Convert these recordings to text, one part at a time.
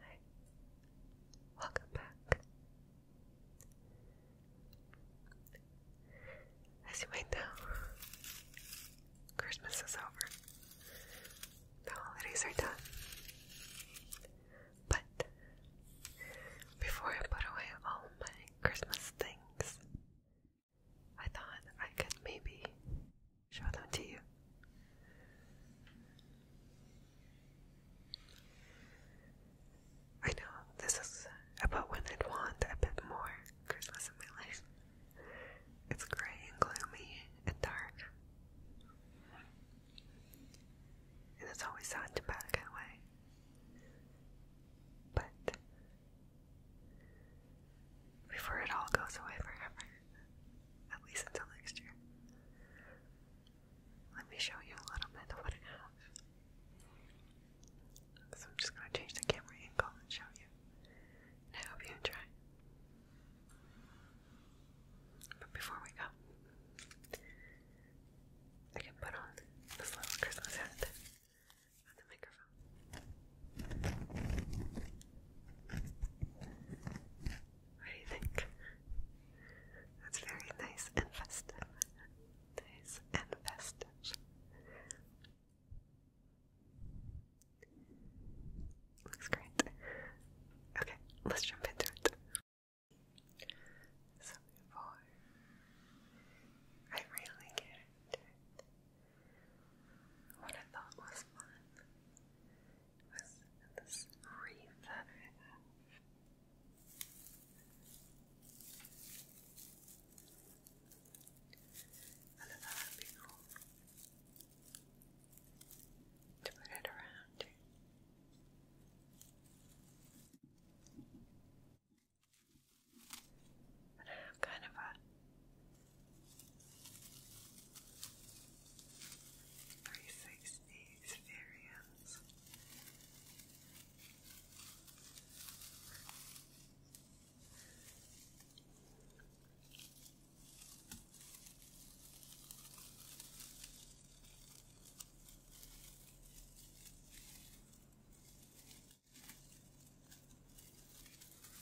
Hi, welcome back. As you might know, Christmas is over. The holidays are done. But before I put away all my Christmas things, I thought I could maybe Shout out to you. I know this is about when I'd want a bit more Christmas in my life. It's gray and gloomy and dark. And it's always sad to bad kind But before it all goes away forever. At least until next year. Let me show you a little bit of what I have. So I'm just going to change the camera angle and show you. I hope you enjoy. But before we go, I can put on this little Christmas hat on the microphone. What do you think? That's very nice and festive. Nice and festive. Looks great. Okay, let's jump into it. So before I really get into what I thought was fun was this wreath that I would be cool to put it around. And I have kind of a 360 experience.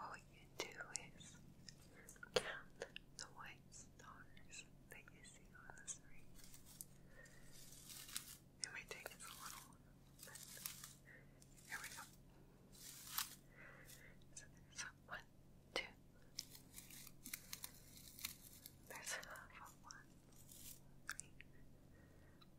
What we do is count the white stars that you see on the screen. It might take us a little here we go. So one, two. There's half of one,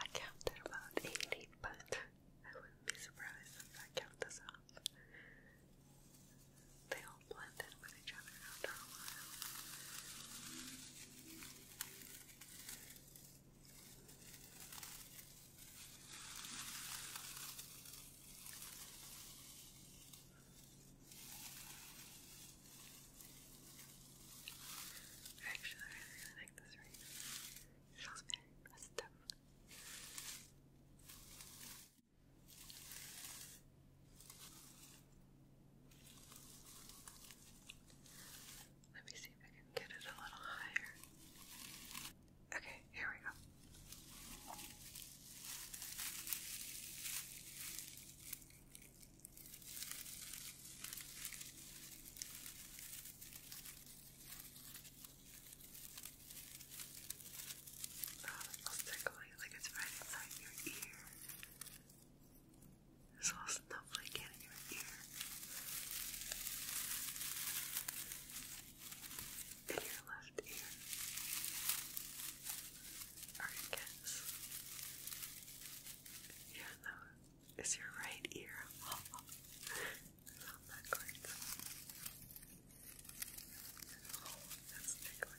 I counted about 80, but I wouldn't be surprised if I count this up. They all blend in with each other after a while. Actually, I really like this ring. It feels very festive. Let me see if I can get it a little higher. Okay, here we go. It's it feels tickling, like it's right inside your ear. There's little snowflake in your ear. In your left ear. Or I guess. Yeah, no, is your right ear. I that great. that's tickling.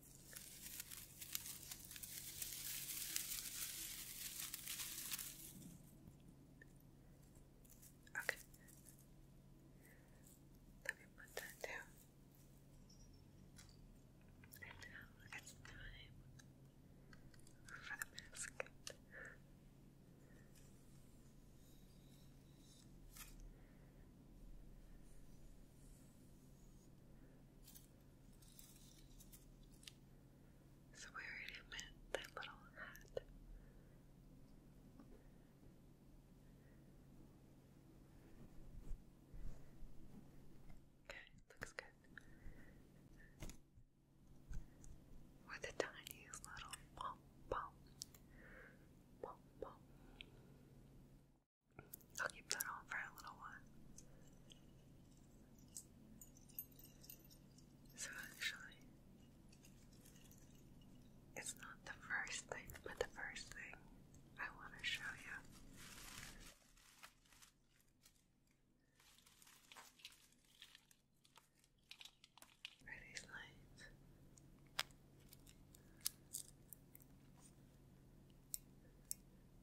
Okay. Let me put that down. And for the basket. So we already met that little hat. Okay, looks good. With a tiny little pom. Pom pom. I'll keep that on for a little while. So actually, it's not the first thing, but the first thing I want to show you. Are these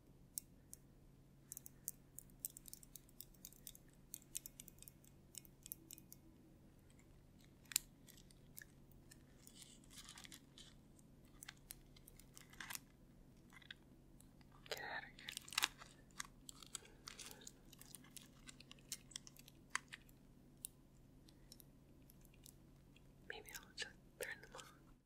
Get out of here. Maybe I'll just turn them on. I'm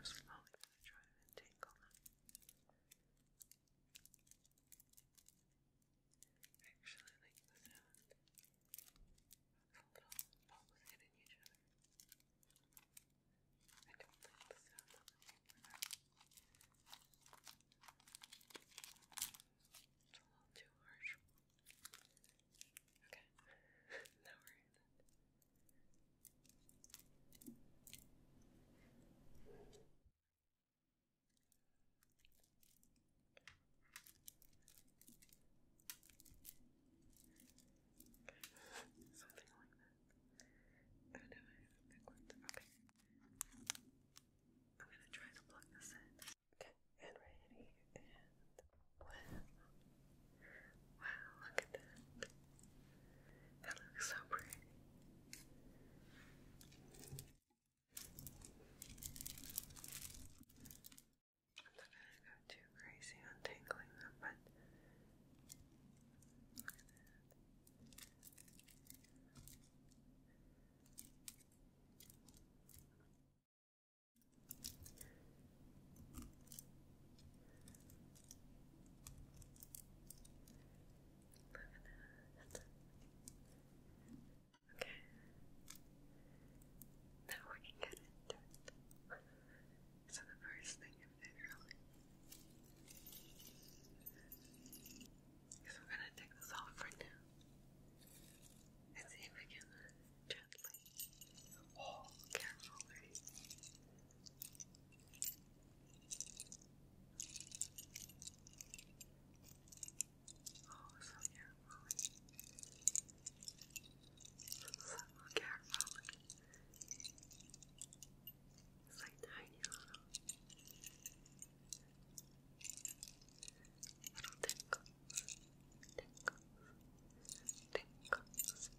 slowly going to try to untangle them. I actually like the sound of the little balls hitting each other. I don't like the sound of them. It's a little too harsh. Okay, no worries. Something like that. Oh no, I think Okay. I'm gonna try to plug this in. Okay, and ready, and well. Wow, look at that. That looks so pretty. I'm not gonna go too crazy on them, but Okay. Now we can get into it. So the first thing I'm really so we're gonna take this off right now and see if we can gently oh carefully Oh so carefully so carefully it's like tiny little. Little tinkles, tinkles, tinkles.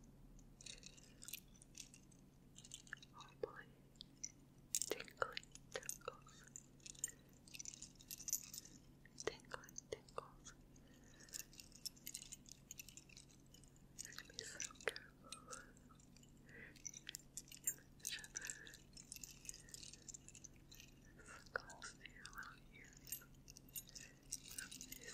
Oh boy, tinkling tinkles, tinkling tinkles. It'd be so true. Circles to your little ears. Up this a little bit.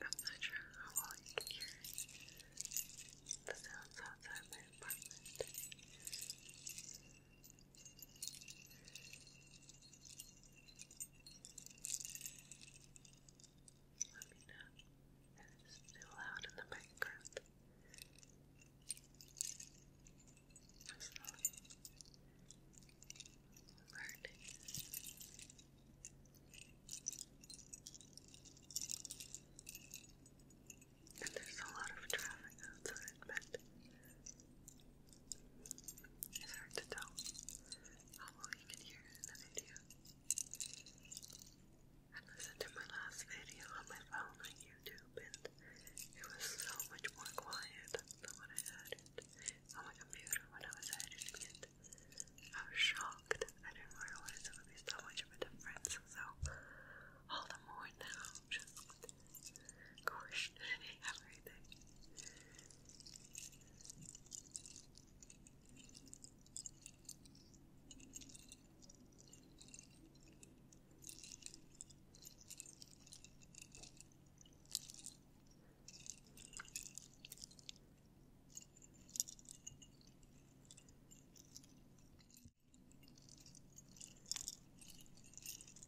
I'm not sure how well you can hear the outside my apartment. Let me know it's still loud in the background. i learning. And there's a lot of traffic outside, but it's hard to tell how well you can hear it in the video. I listened to my last video on my phone on YouTube and it was so much more quiet than when I had on my computer when I was editing it. I was shocked. I didn't realize it would be so much of a difference. So all the more now, just questioning everything.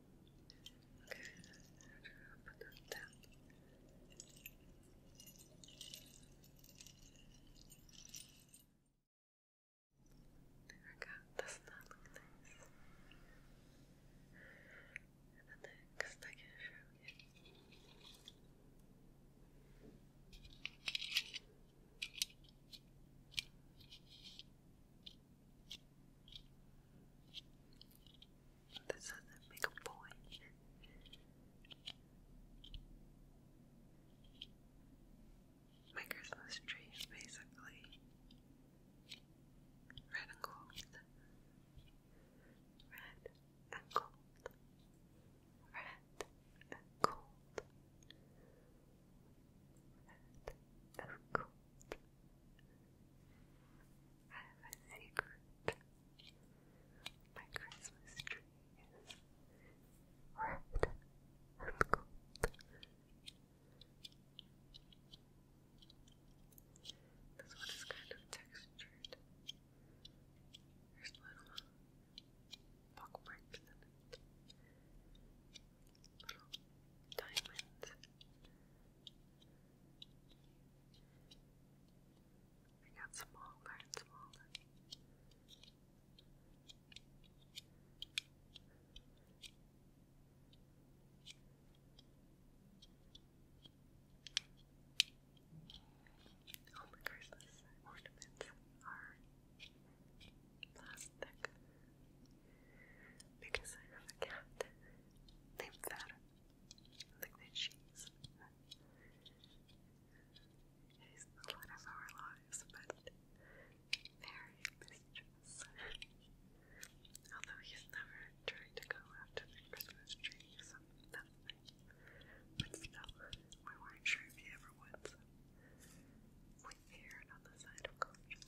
Okay, that's natural. Put that down. There we go. does that look nice? And the I can show you. This doesn't make a point. My Christmas tree is basically red and gold. Red and gold. Red and gold. Red and gold. I have a secret. My Christmas tree is red and gold. This one is kind of textured. There's little bookmarks in it. Little diamonds. They got smaller and smaller. Oh my Christmas ornaments are plastic because I have a cat named Fat. Look at the cheese. It is the of our lives, but very mischievous. Although he's never tried to go after the Christmas tree, so that's nice. Um, but still, we weren't sure if he ever would, so we on the side of caution.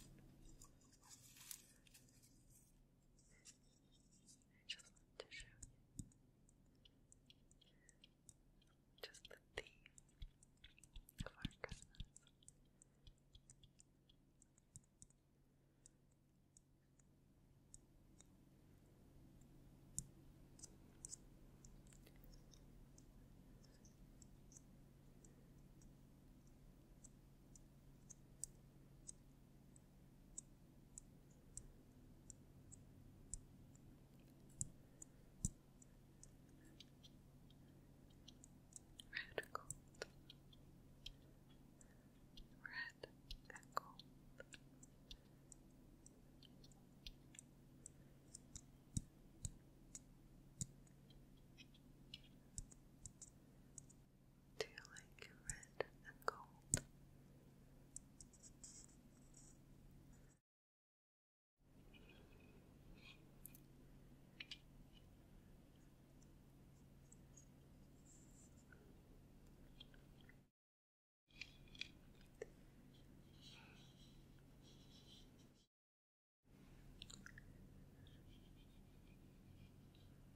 I just to show you just the theme of our Christmas. Red gold. Red and gold. Do you like red and gold?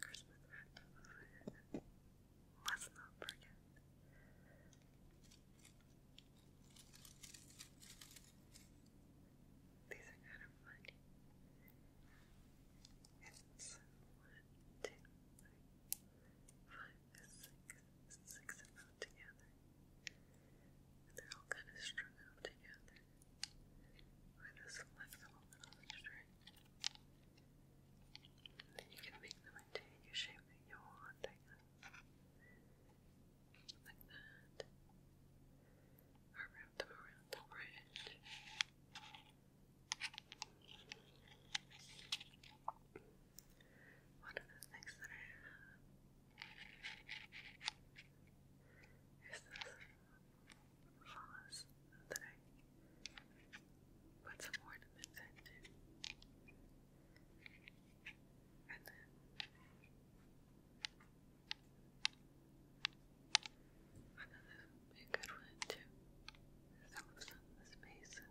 Christmas wrap. Must not forget. These are kind of funny. It's one, two, three, five, six, six of them together. they're all kind of strung out together. I you can make them into any shape that you want, Like that. Or wrap them around the bridge. One of the things that I have is this follows that I put some ornaments And then another good one too. Some of the spaces.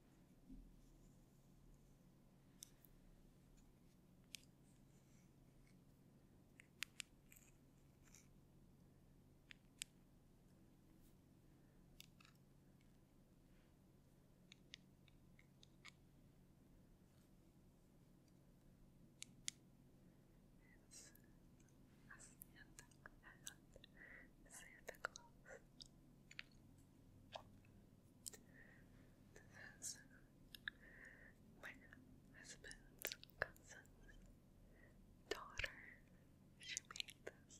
Santa Claus. Santa Claus. This is my husband's cousin's daughter. She made this.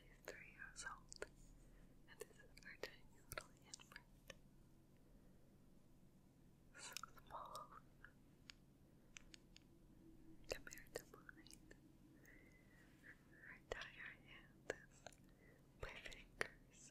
She's three years old, and this is her tiny little infant small compared to mine. Her entire hand is my fingers.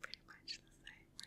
Pretty much the same,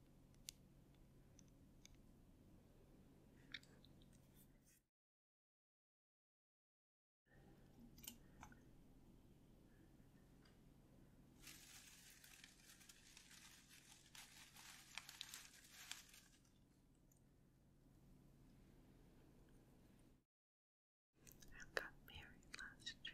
I got married last year.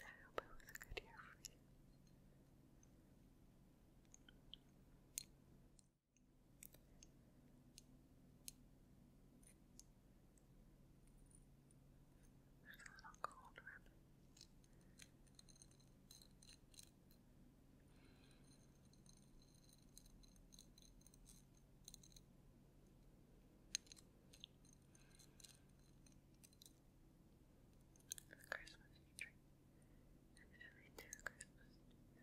I hope it was a good year for you. There's a little cold the Christmas tree, and Christmas Christmas we heard 2020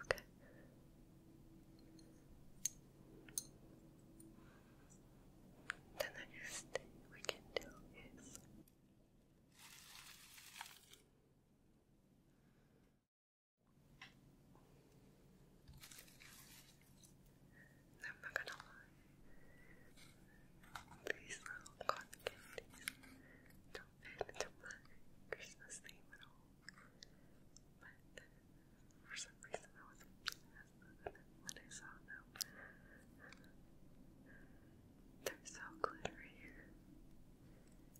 Okay. The next thing we can do is I'm not gonna lie. These little cotton candies don't fit into Christmas theme at all. But for some reason I was when I saw them. They're so glittery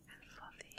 and fluffy.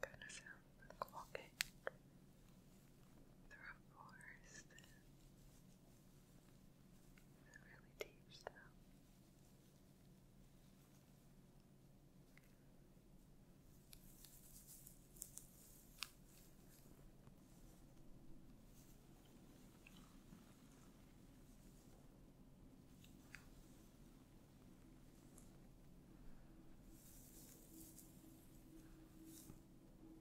Kind of sounds like through a forest it's really deep stuff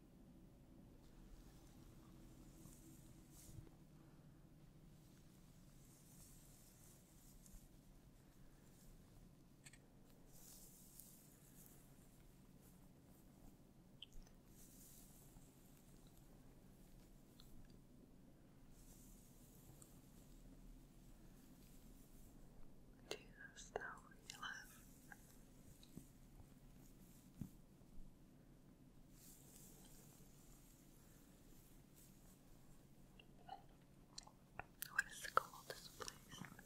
Jesus, you we love. What is the coldest place you've been?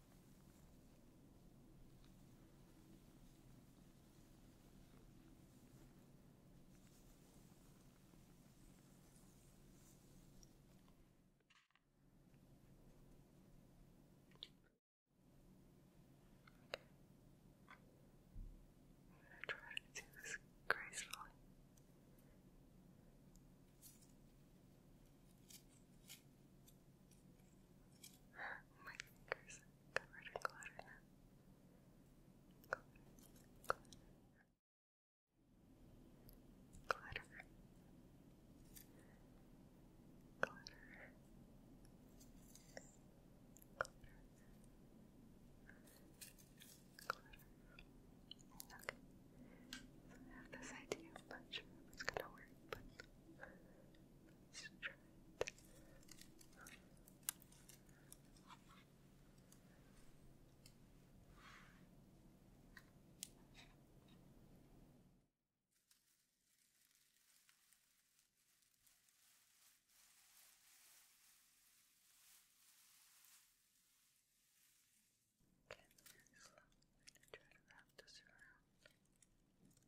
I'm going to try to do this gracefully. My fingers covered in clutter now. Clutter. Clutter. Clutter. Clutter. Okay. So I have this idea. i it's gonna work, but let's try it. Okay, very slowly to try to wrap this around. Okay,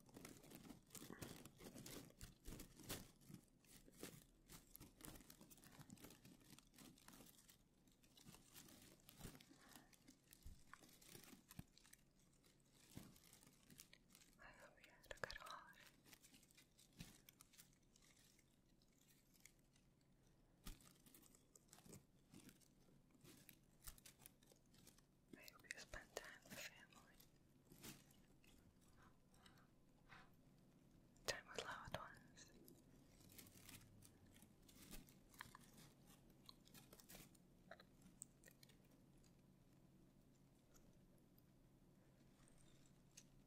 I hope you had a good holiday. I hope you spend time with family, time with loved ones.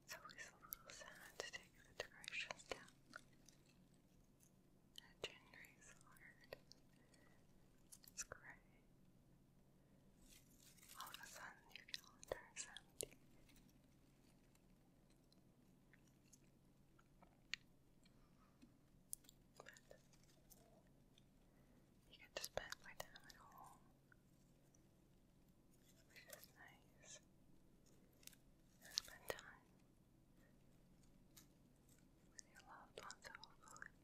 It's always a little sad to take the decorations down. That is hard. It's gray. All of a sudden, your calendar is empty. But you get to spend my time at home, which is nice. spend time with your loved ones, hopefully.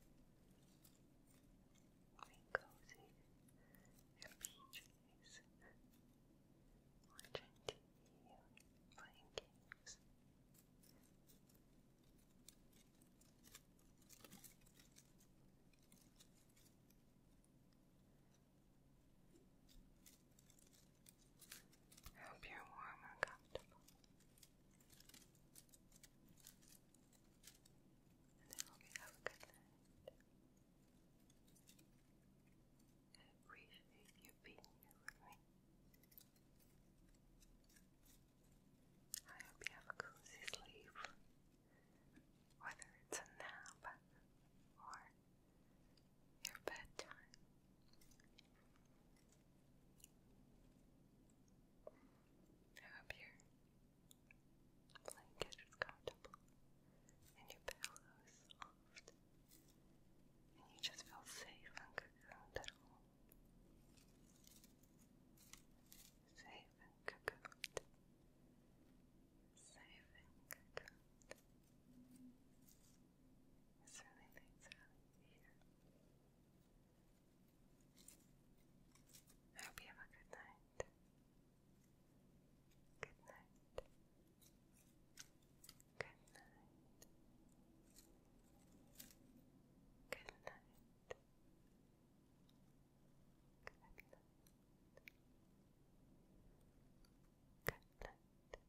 Being cozy and PJs, watching TV, playing games. I hope you're warm and comfortable. And I hope you have a good night. I appreciate you being here with me. I hope you have a cozy sleep, whether it's a nap or your bedtime. I hope your blanket is comfortable and your pillow is soft and you just feel safe and cocooned Safe and cocooned. Safe and cocooned. It's really here. I hope you have a good night. Good night. Good night. Good night. Good night. Good night.